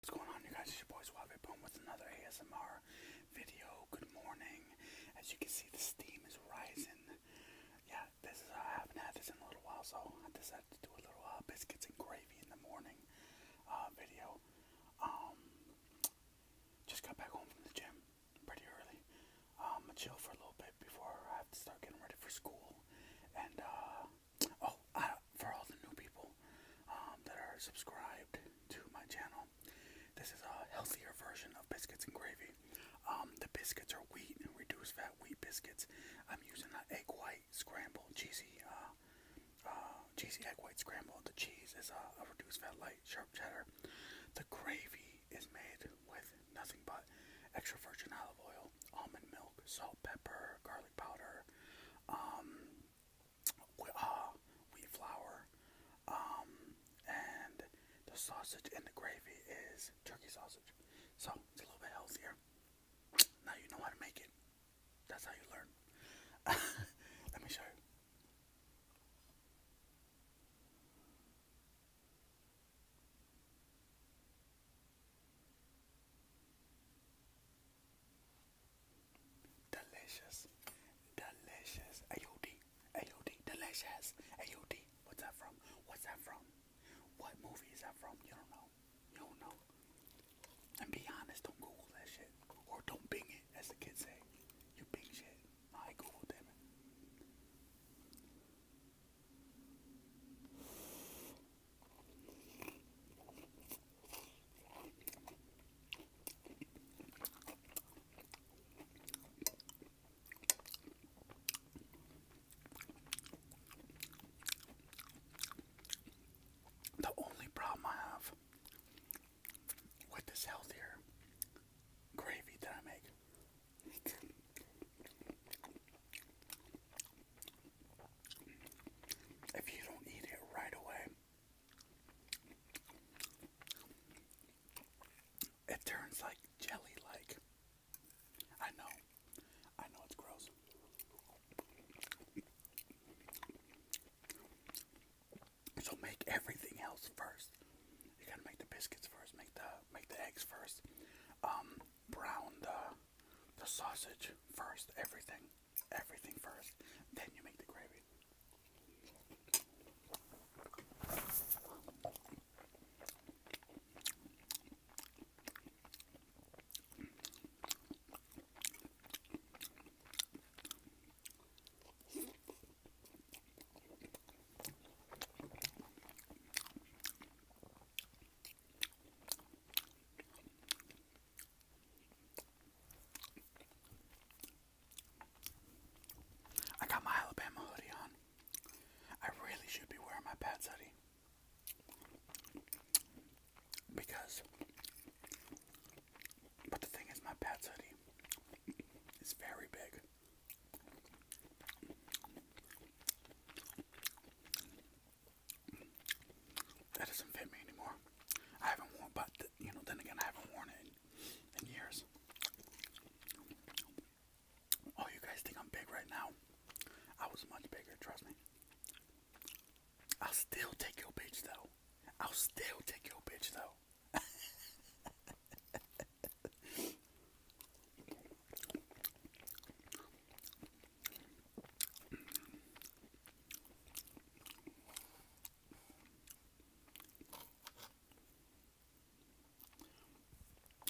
What's going on you guys? It's your boy Suave Boom with another ASMR video. Good morning. As you can see the steam is rising. Yeah, this is I haven't had this in a little while, so I decided to do a little uh, biscuits and gravy in the morning uh, video. Um, just got back home from the gym pretty early. Um, I chill for a little bit before I have to start getting ready for school. And uh, Oh, for all the new people um, that are subscribed to my channel, this is a healthier version of biscuits and gravy. Um, the biscuits are wheat and reduced fat wheat biscuits. I'm using an egg white scramble, cheesy, uh, uh, cheesy egg white scramble. The cheese is a reduced fat light sharp cheddar. The gravy is made with nothing but extra virgin olive oil, almond milk, salt, pepper, garlic powder, um, uh, wheat flour, um, and the sausage and the gravy is turkey sausage. So it's a little bit healthier. Now you know how to make it. That's how you learn. Let me show you. Delicious. Delicious. AOD. AOD. Delicious. AOD. What's that from? What's that from? What movie is that from? You don't know. You don't know. And be honest, don't Google that shit. Or don't Bing it, as the kids say. You Bing shit. I Google, damn the only problem I have with this healthier gravy that I make if you don't eat it right away, it turns like jelly like. I know. I know it's gross. So make everything else first. You gotta make the biscuits first, make the make the eggs first, um, brown the the sausage first, everything everything first, then you make the gravy. I got my Alabama hoodie on. I really should be wearing my Pats hoodie. Because, but the thing is, my Pats hoodie is very big. That doesn't fit me anymore. I haven't worn, but you know, then again, I haven't worn it in, years. Oh, you guys think I'm big right now? I was much bigger, trust me. I'll still take your bitch though. I'll still take your bitch though.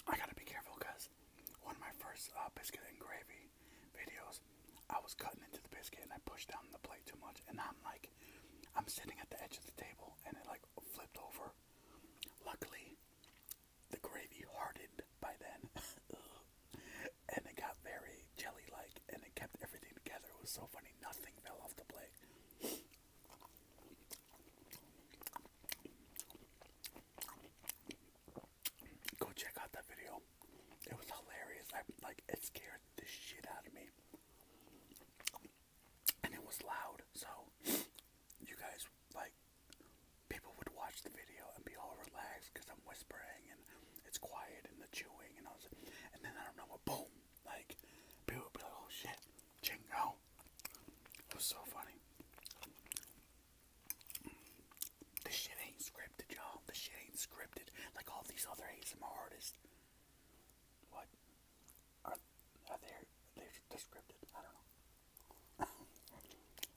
I gotta be careful because one of my first uh, biscuit and gravy videos, I was cutting into the biscuit and I pushed down the plate too much, and I'm like, I'm sitting at the edge of the table and it like flipped over. Luckily, the gravy hardened by then. and it got very jelly-like, and it kept everything together. It was so funny. Nothing fell off the plate. Go check out that video. It was hilarious. I like it scared the shit out of me. And it was loud, so you guys like people would watch the video and be all relaxed because I'm whispering and it's quiet and the chewing and all this. And then I don't know what, boom! Like, people would be like, oh shit, jingle. It was so funny. This shit ain't scripted, y'all. This shit ain't scripted like all these other ASMR artists. What? Are, are they, are scripted? I don't know.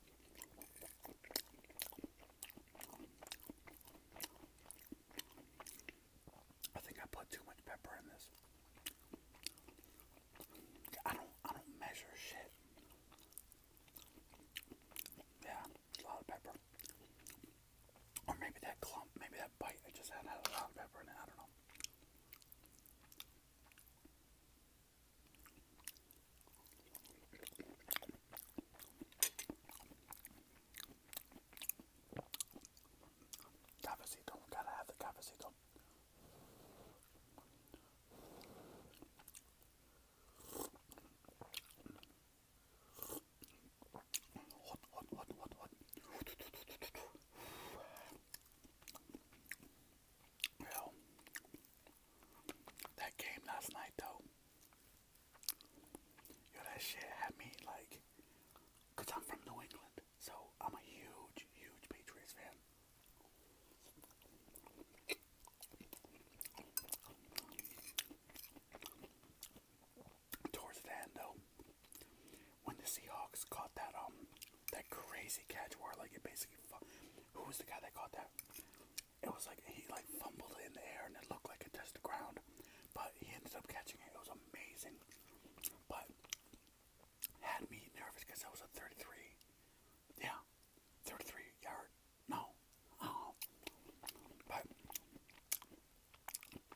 I think I put too much pepper in this. I don't I don't measure shit. Yeah, a lot of pepper. Or maybe that clump, maybe that bite I just had had a lot of pepper in it, I don't know. Cafecito, gotta have the cafecito. Hot, hot, hot, hot, hot. Well, that game last night though, yo, that shit had me like, i I'm from New England, so I'm a huge, huge Patriots fan. Towards the end though, when the Seahawks caught that um that crazy catch where like it basically, who was the guy that caught that? it was like he like fumbled it in the air and it looked like it touched the ground, but he ended up catching it. It was amazing, but had me nervous because that was a 33. Yeah, 33 yard. No, oh, but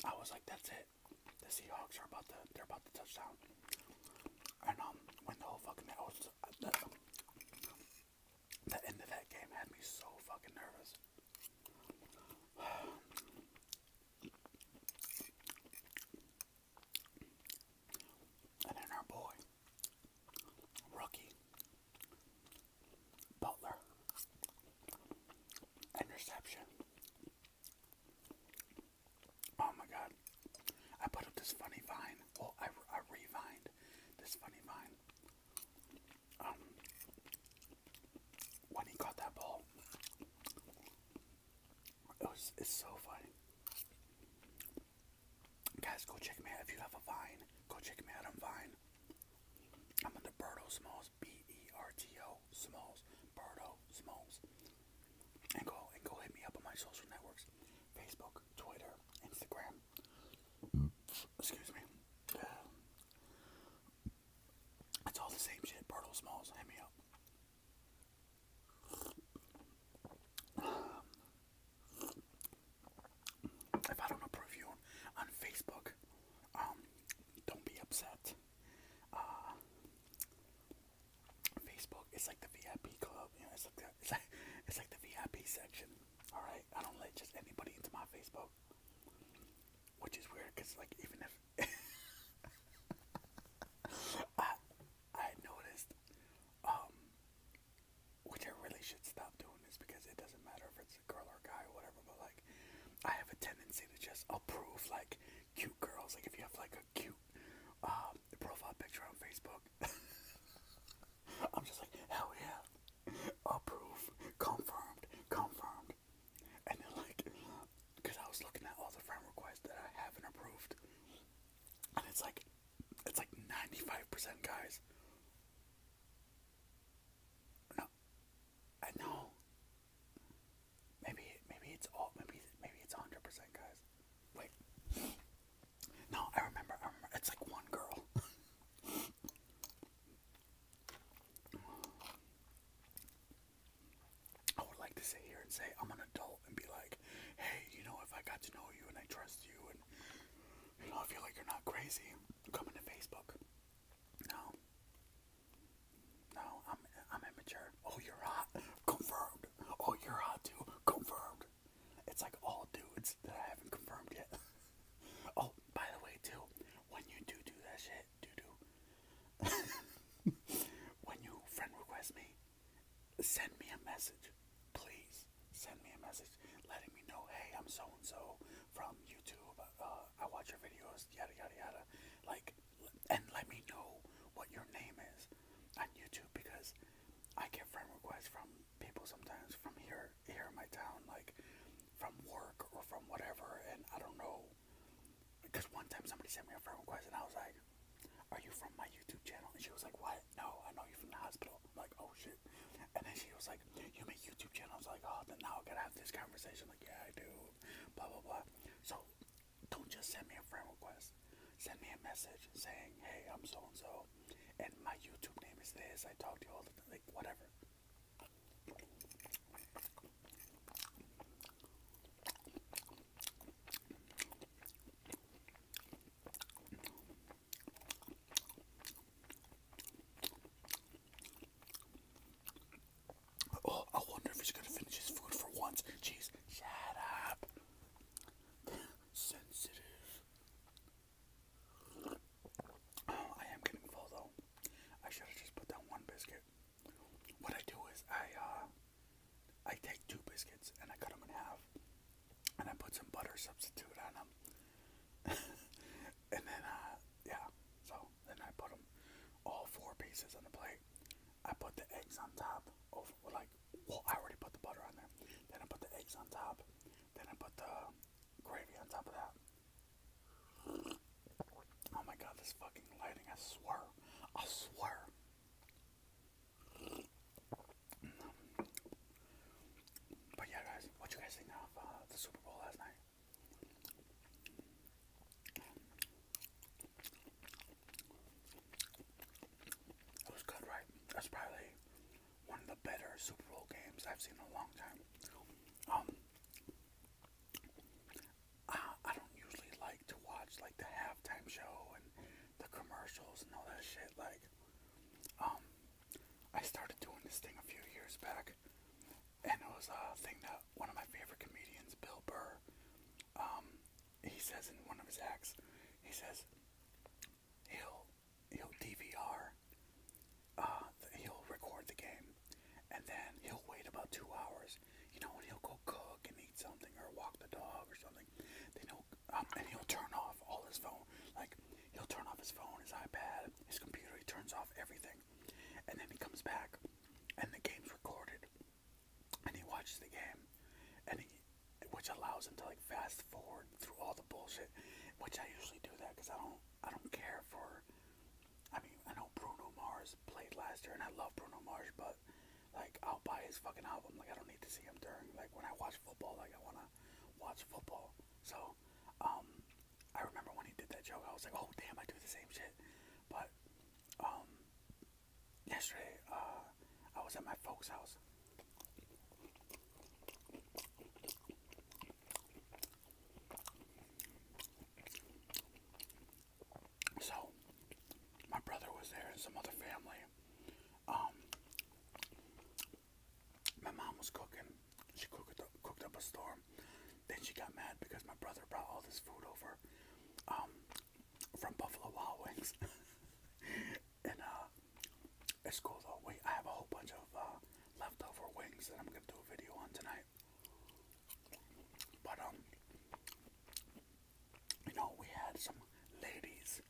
I was like, that's it. The Seahawks are about to they're about to touchdown, and um, when the whole fucking the end of that game had me so fucking nervous. And then our boy, rookie, Butler, interception. Oh my god. I put up this funny vine well, oh, I, I revined this funny vine. Um, when he caught that ball, it was it's so funny. Guys, go check me out if you have a Vine. Go check me out I'm Vine. I'm under Berto Smalls, B-E-R-T-O Smalls, Berto Smalls, and go and go hit me up on my social networks: Facebook, Twitter, Instagram. Excuse me. It's all the same shit. Bartle Smalls, hand me up. If I don't approve you on Facebook, um, don't be upset. Uh, Facebook is like the VIP club it's like, the VIP section. All right, I don't let just anybody into my Facebook, which is weird because like even if I I noticed, um, which I really should stop doing this because it doesn't matter if it's a girl or a guy or whatever. But like, I have a tendency to just approve like cute girls. Like if you have like a cute um, profile picture on Facebook, I'm just like, hell yeah. Approved. Confirmed. Confirmed. And then like, because I was looking at all the friend requests that I haven't approved. And it's like, it's like 95% guys. No. I know. Maybe, maybe it's all, maybe, maybe it's 100% guys. Wait. No, I remember, It's like one girl. I would like to sit here and say I'm an adult and be like, hey, you know, if I got to know you and I trust you and you know, I feel like you're not crazy, come into Facebook. No. No, I'm I'm immature. Oh, you're hot. Confirmed. Oh, you're hot too. Confirmed. It's like all dudes that I haven't confirmed yet. oh, by the way, too, when you do do that shit, do do. when you friend request me, send me a message. Please send me a message letting me know, hey, I'm so and so from YouTube. Uh, I watch your videos, yada yada yada. Like, and let me know what your name is on YouTube because I get friend requests from people sometimes from here, here in my town, like from work or from whatever, and I don't know. Because one time somebody sent me a friend request, and I was like, "Are you from my YouTube channel?" And she was like, "What? No, I know you from the hospital." like, "Oh shit!" And then she was like, "You make YouTube channels?" like, "Oh, then now I gotta have this conversation." Like, yeah, I do. Blah blah blah. So don't just send me a friend request send me a message saying, hey, I'm so and so, and my YouTube name is this. I talk to you all the time, like, whatever. Oh, I wonder if he's gonna finish his food for once. Jeez, shut up. sensitive. Oh, I am getting full though. I should have just put down one biscuit. What I do is I uh, I take two biscuits and I cut them in half, and I put some butter substitute on them, and then uh, yeah. So then I put them all four pieces on the plate. I put the eggs on top, over like well, I already put the butter on there. Then I put the eggs on top. Then I put the gravy on top of that. Oh my god, this fucking lighting, I swear. I swear. But yeah, guys, what you guys think of uh, the Super Bowl last night? It was good, right? That's probably one of the better Super Bowl games I've seen in a long time. Um, I, I don't usually like to watch like the halftime show and the commercials and all that shit. Like, um, I started doing this thing a few years back, and it was a thing that one of my favorite comedians, Bill Burr, um, he says in one of his acts, he says he'll he'll DVR, uh, he'll record the game, and then he'll wait about two hours, you know, and he'll go cook and eat something or walk the dog or something. Then he'll um, and he'll turn off all his phone, like he'll turn off his phone, his iPad, his computer. He turns off everything, and then he comes back, and the game's recorded, and he watches the game, and he which allows them to like fast forward through all the bullshit, which I usually do that because I don't I don't care for. I mean, I know Bruno Mars played last year, and I love Bruno Mars, but like I'll buy his fucking album. Like I don't need to see him during like when I watch football. Like I wanna watch football. So, um, I remember when he did that joke, I was like, oh damn, I do the same shit. But, um, yesterday, uh, I was at my folks' house. So, my brother was there and some other family. Um, my mom was cooking. She cooked up, a storm. Then she got mad because my brother brought all this food over. Um, from Buffalo Wild Wings. and uh, it's cool though. Wait, I have a whole bunch of uh, leftover wings that I'm gonna do a video on tonight. But um, you know, we had some ladies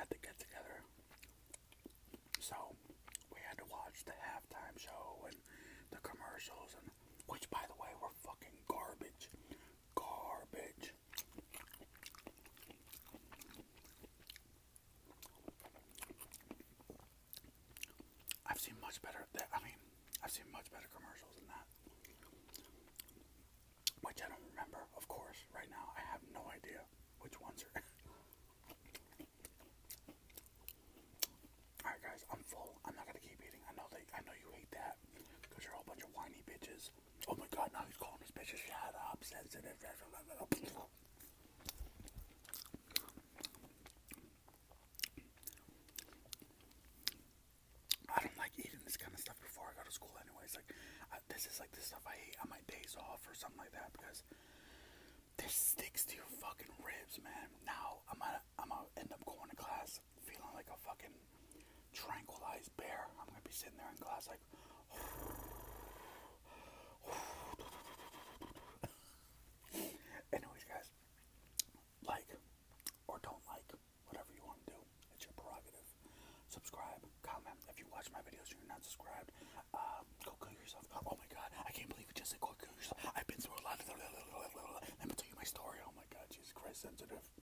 at the get together, so we had to watch the halftime show and the commercials, and which, by the way, were fucking garbage, garbage. I've seen much better. I mean, I've seen much better commercials than that, which I don't remember. Of course, right now I have no idea which ones are. All right, guys, I'm full. I'm not gonna keep eating. I know that I know you hate that because you're a whole bunch of whiny bitches. Oh my god, now he's calling his bitch a shut up, sensitive. I don't like eating this kind of stuff before I go to school, anyways. Like, this is like the stuff I hate on my days off or something like that because this sticks to your fucking ribs, man. Now I'm gonna, I'm gonna end up going to class feeling like a fucking tranquilized bear. I'm gonna be sitting there in class like. Anyways, guys, like or don't like, whatever you want to do, it's your prerogative. Subscribe, comment. If you watch my videos you're not subscribed, uh, go kill yourself. Oh my god, I can't believe you just said go kill yourself. I've been through a lot. Of... Let me tell you my story. Oh my god, Jesus Christ, sensitive.